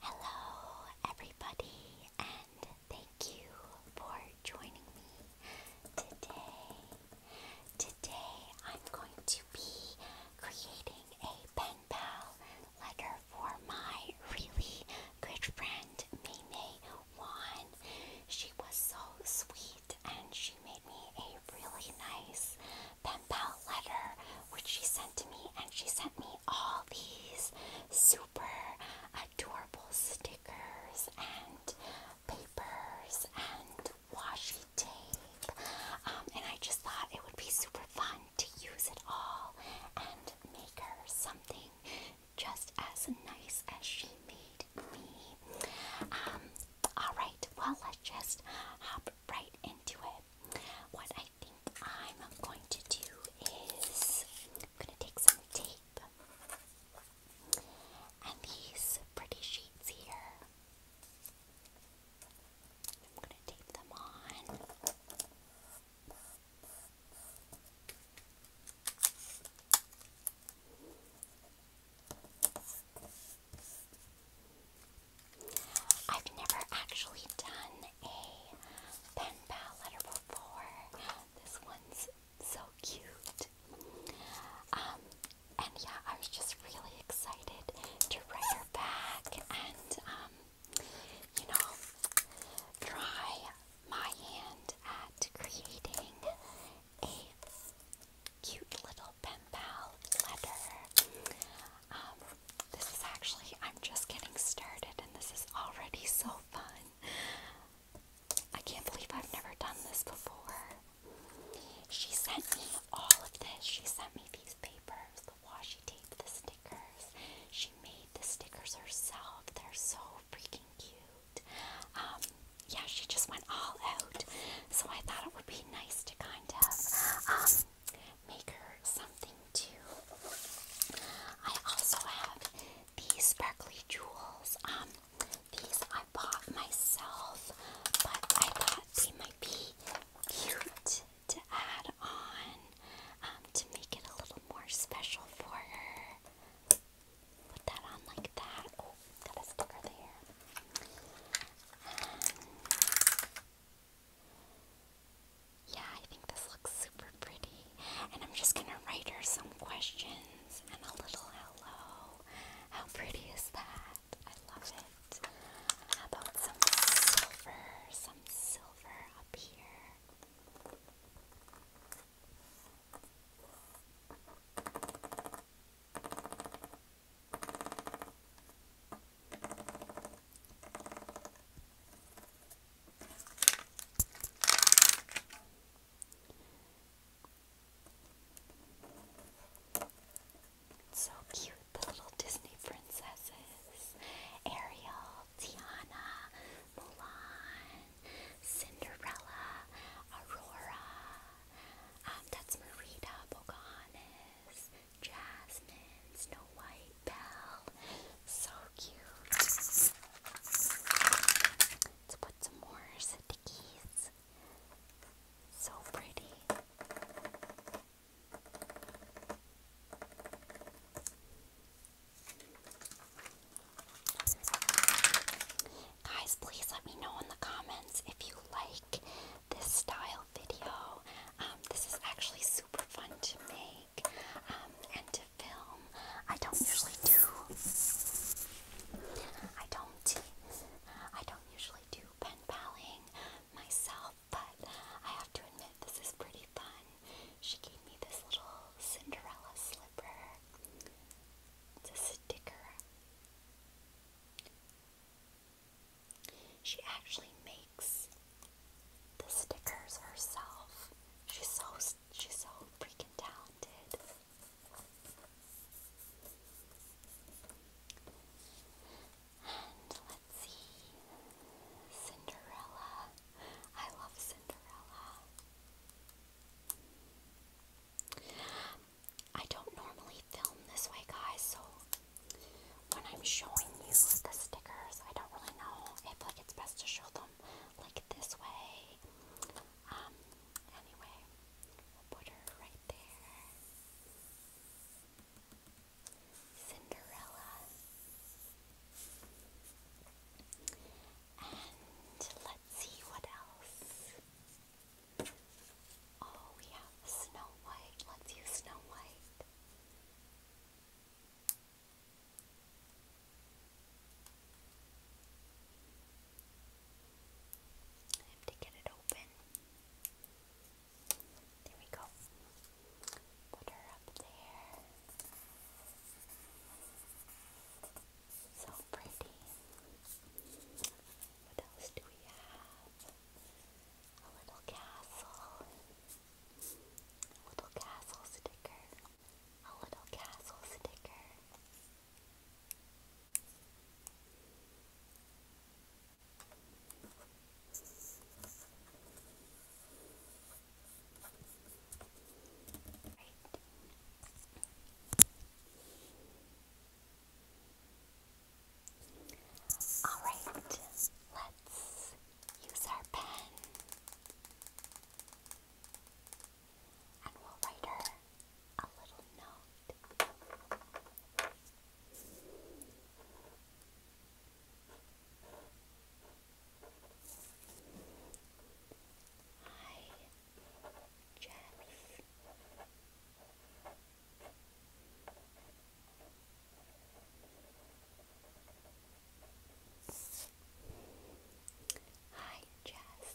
Hello, everybody, and thank you for joining me today. Today, I'm going to be creating a pen pal letter for my really good friend, Mimi Wan. She was so sweet and she made me a really nice pen pal letter which she sent to me, and she sent me all these super adorable stickers and papers and washi tape. Um, and I just thought it would be super fun to use it all and make her something just as nice as she made me. Um, Alright, well, let's just hop right into it. What I think I'm going to do is I'm going to take some tape and these pretty sheets here. I'm going to tape them on. I've never actually done a pen pal letter before. This one's so cute. Um, and yeah, I was just really excited to write her back and, um, you know, try my hand at creating a cute little pen pal letter. Um, this is actually, I'm just getting started and this is already so fun. I can't believe I've never done this before. She sent me all of this. She sent me these papers, the washi tape, the stickers. She made the stickers herself. They're so freaking cute. Um, yeah, she just went all out. So I thought it would be nice to kind of um, make her something too. I also have these sparkly jewels. Um, these I bought myself, but I thought they might be cute to add on um, to make it a little more special for her. Put that on like that. Oh, got a sticker there. Um, yeah, I think this looks super pretty. And I'm just gonna write her some questions and a little hello. How pretty is that? I love it. How about some silver? Some silver up here. So cute, the little Disney princesses Ariel, Tiana, Mulan, Cinderella, Aurora. Um, that's Merida, Pocahontas, Jasmine, Snow White, bell, So cute. Let's put some more stickies. So pretty. Guys, please let me know in the comments if you like this style video. Um, this is actually super fun to make um, and to film. I don't usually do. I don't. I don't usually do pen palling myself, but I have to admit this is pretty fun. She gave me this little Cinderella slipper. It's a sticker. She actually makes the stickers herself. She's so she's so freaking talented. And let's see. Cinderella. I love Cinderella. I don't normally film this way, guys, so when I'm showing you the stickers, I don't really know if like it's best to show them like this way. Um, anyway, we'll put her right there. Cinderella. And let's see what else. Oh, we have Snow White. Let's use Snow White. I have to get it open. There we go. Put her up there. So pretty. What else do we have? a little castle, a little castle sticker, a little castle sticker. Right. Alright, let's use our pen and we'll write her a little note. Hi, Jeff. Hi, Jess.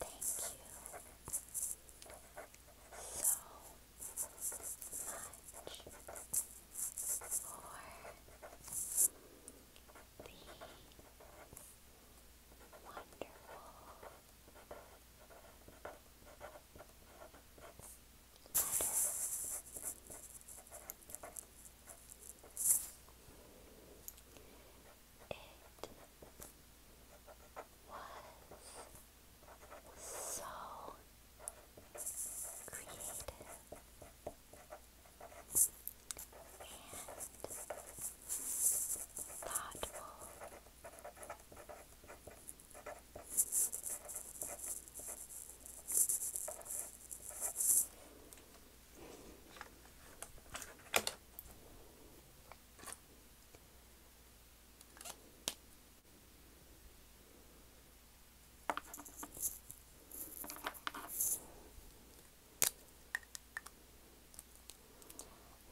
Thank you so much for the Wonderful. Butter. It was so creative and thoughtful.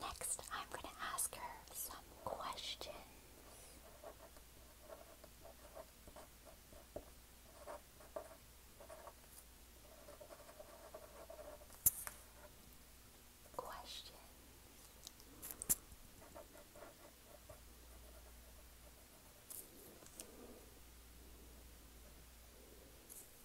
Next, I'm going to ask her some questions. Question.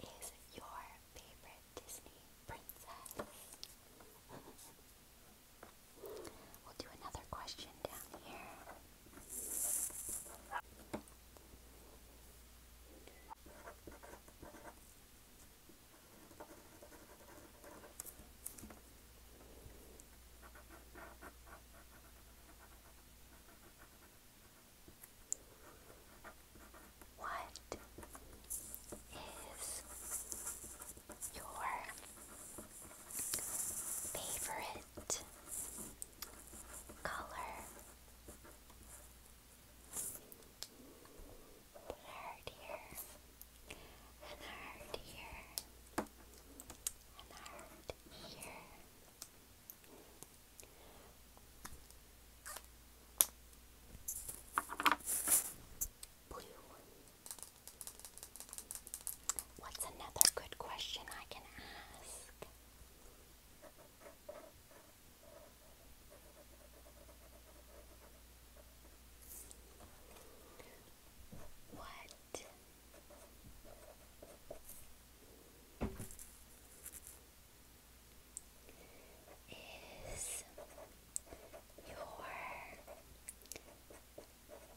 Who is your favorite Disney princess? we'll do another question down here. What is your favorite color? Put here, and here, and here. What's another good question I can ask? What is your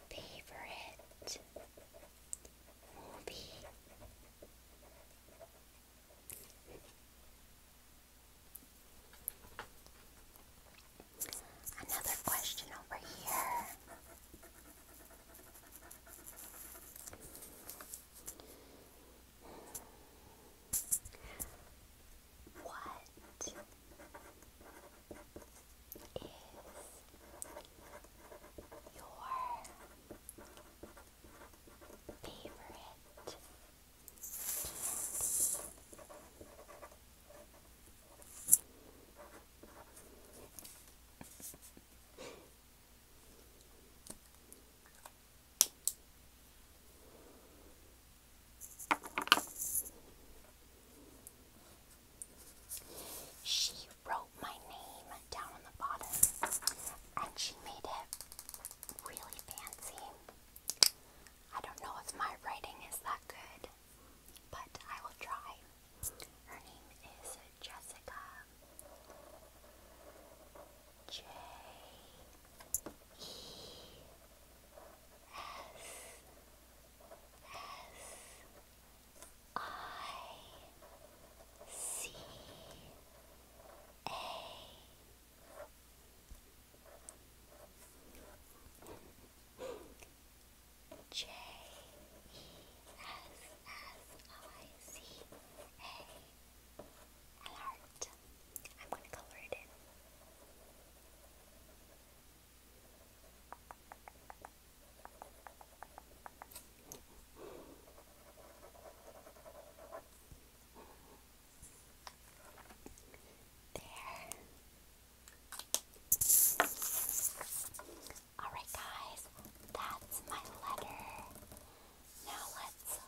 favorite movie? Another question over here. What is your favorite she wrote my name down on the bottom and she made it really fancy. I don't know if my writing is that good, but I will try. Her name is Jessica J E S S I C A. J E S S I C A am gonna color it in. There. Alright, guys, that's my letter. Now let's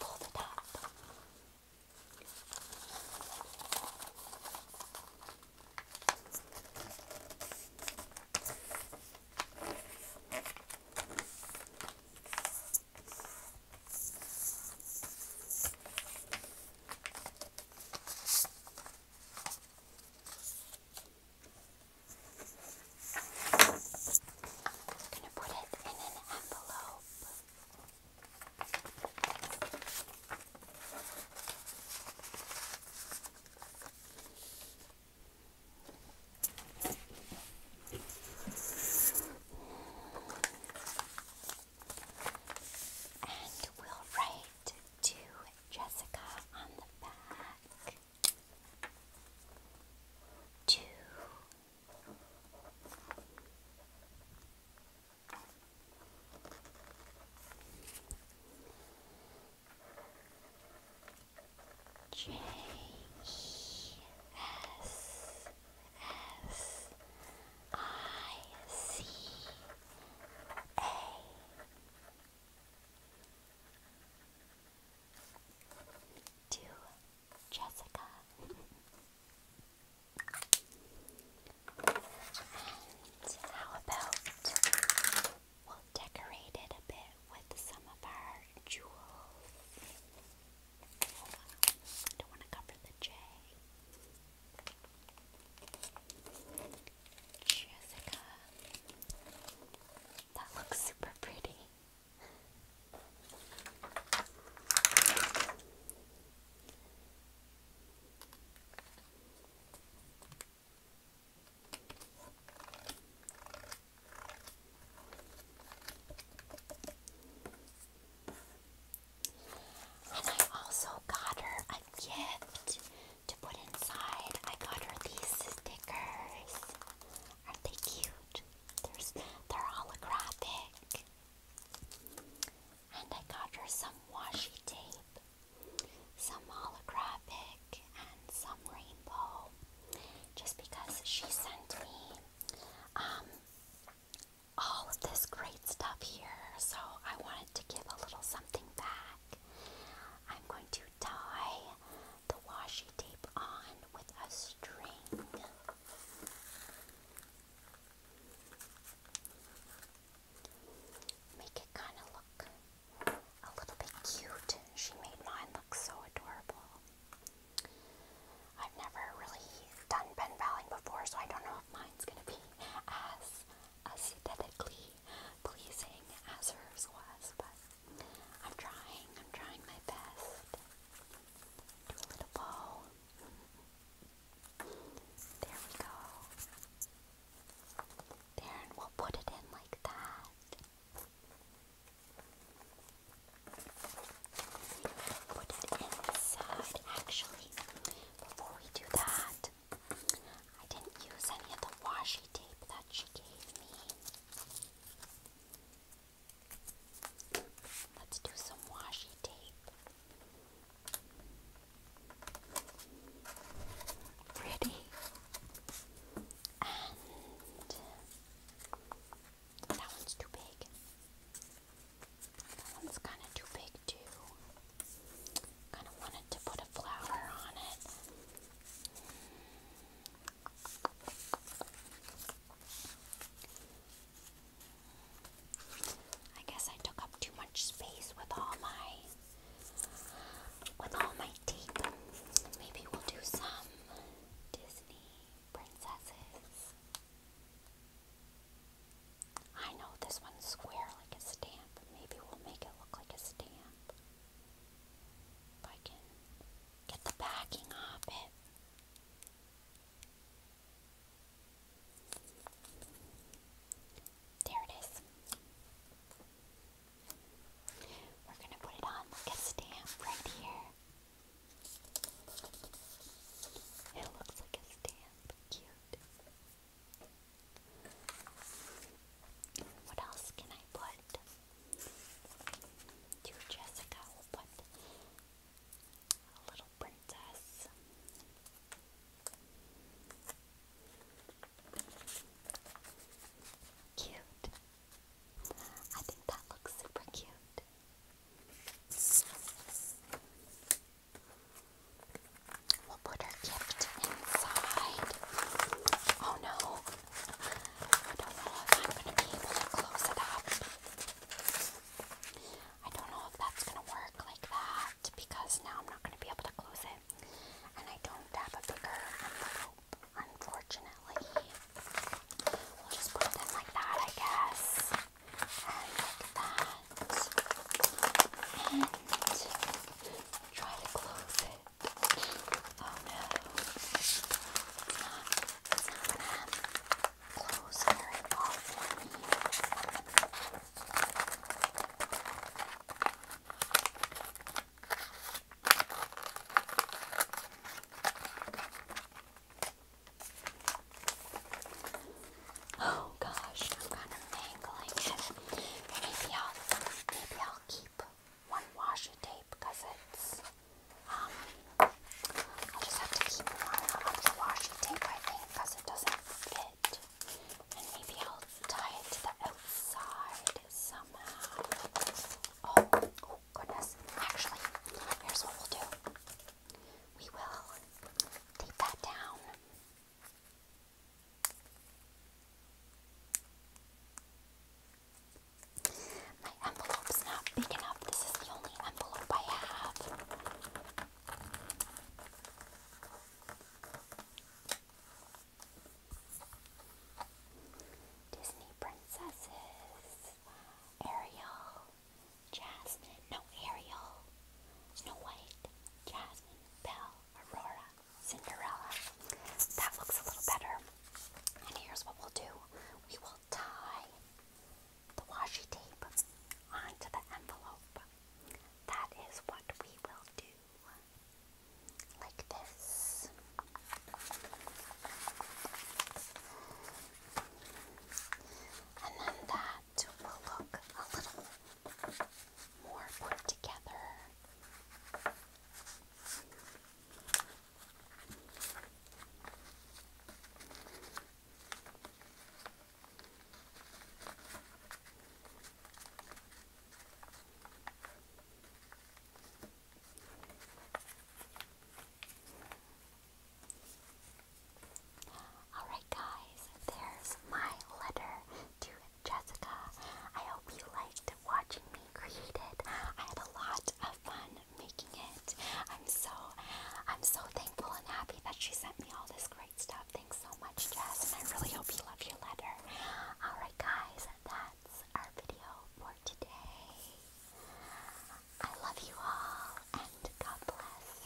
fold it up. I'm going to put it in an envelope. And we'll write to Jessica on the back. Two. J E S S I C A to Jessica. and how about we'll decorate it a bit with some of our jewels? don't want to cover the J. Jessica. That looks super pretty. And I also got her a gift to put inside. I got her these stickers. Aren't they cute? There's, they're holographic. And I got her some washi tape, some holographic, and some rainbow. Just because she sent me um, all of this great stuff here, so I wanted to give a little something back. I'm going to tie the washi tape on with a string. Make it kind of look a little bit cute. She made mine look so adorable. I've never really done pen before, so I don't know if mine's going to be as aesthetically pleasing as hers was, but I'm trying, I'm trying my best. Do a little bow. There we go. There, we'll put it in like that. Put it inside. Actually, before we do that, I didn't use any of the washi tape that she gave me. Let's do some washi tape. Pretty. And that one's too big. That one's kind of too big, too. Kind of wanted to put a flower on it. I guess I took up too much space with all my with all my tape. Maybe we'll do some Disney princesses. I know this one's square like a stamp. Maybe we'll make it look like a stamp. If I can get the backing off it. There it is. We're going to put it on like a stamp right here. It looks like a stamp. Cute. What else can I put? To Jessica, we'll put a little princess. Cute. I think that looks super cute. We'll put our gift inside. Oh no. I don't know if I'm going to be able to close it up. I don't know if that's going to work like that because now I'm not going to be able to close it. And I don't have a bigger envelope, unfortunately. We'll just put it in like that, I guess. And like that. And try to close it. Oh no. not, not gonna close very well Oh gosh, I'm kind of mangling it. Maybe I'll maybe I'll keep one washi tape because it's um I'll just have to keep one of the washi tape I think because it doesn't fit. And maybe I'll tie it to the outside somehow. Oh, oh goodness. Actually, here's what we'll do. We will tape that down my envelope's not big enough. This is the only envelope I have. Disney princesses. Ariel. Jasmine. No, Ariel. Snow White. Jasmine. Belle. Aurora, Cinderella. That looks a little better. And here's what we'll do we will tie the washi tape onto the envelope. That is what we will do. Like this. And then that will look a little more put together. Alright, guys, there's my letter to Jessica. I hope you liked watching me create it. I had a lot of fun making it. I'm so I'm so thankful and happy that she sent me all this great stuff. Thanks so much, Jess, and I really hope you love your letter. Alright guys, that's our video for today. I love you all and God bless.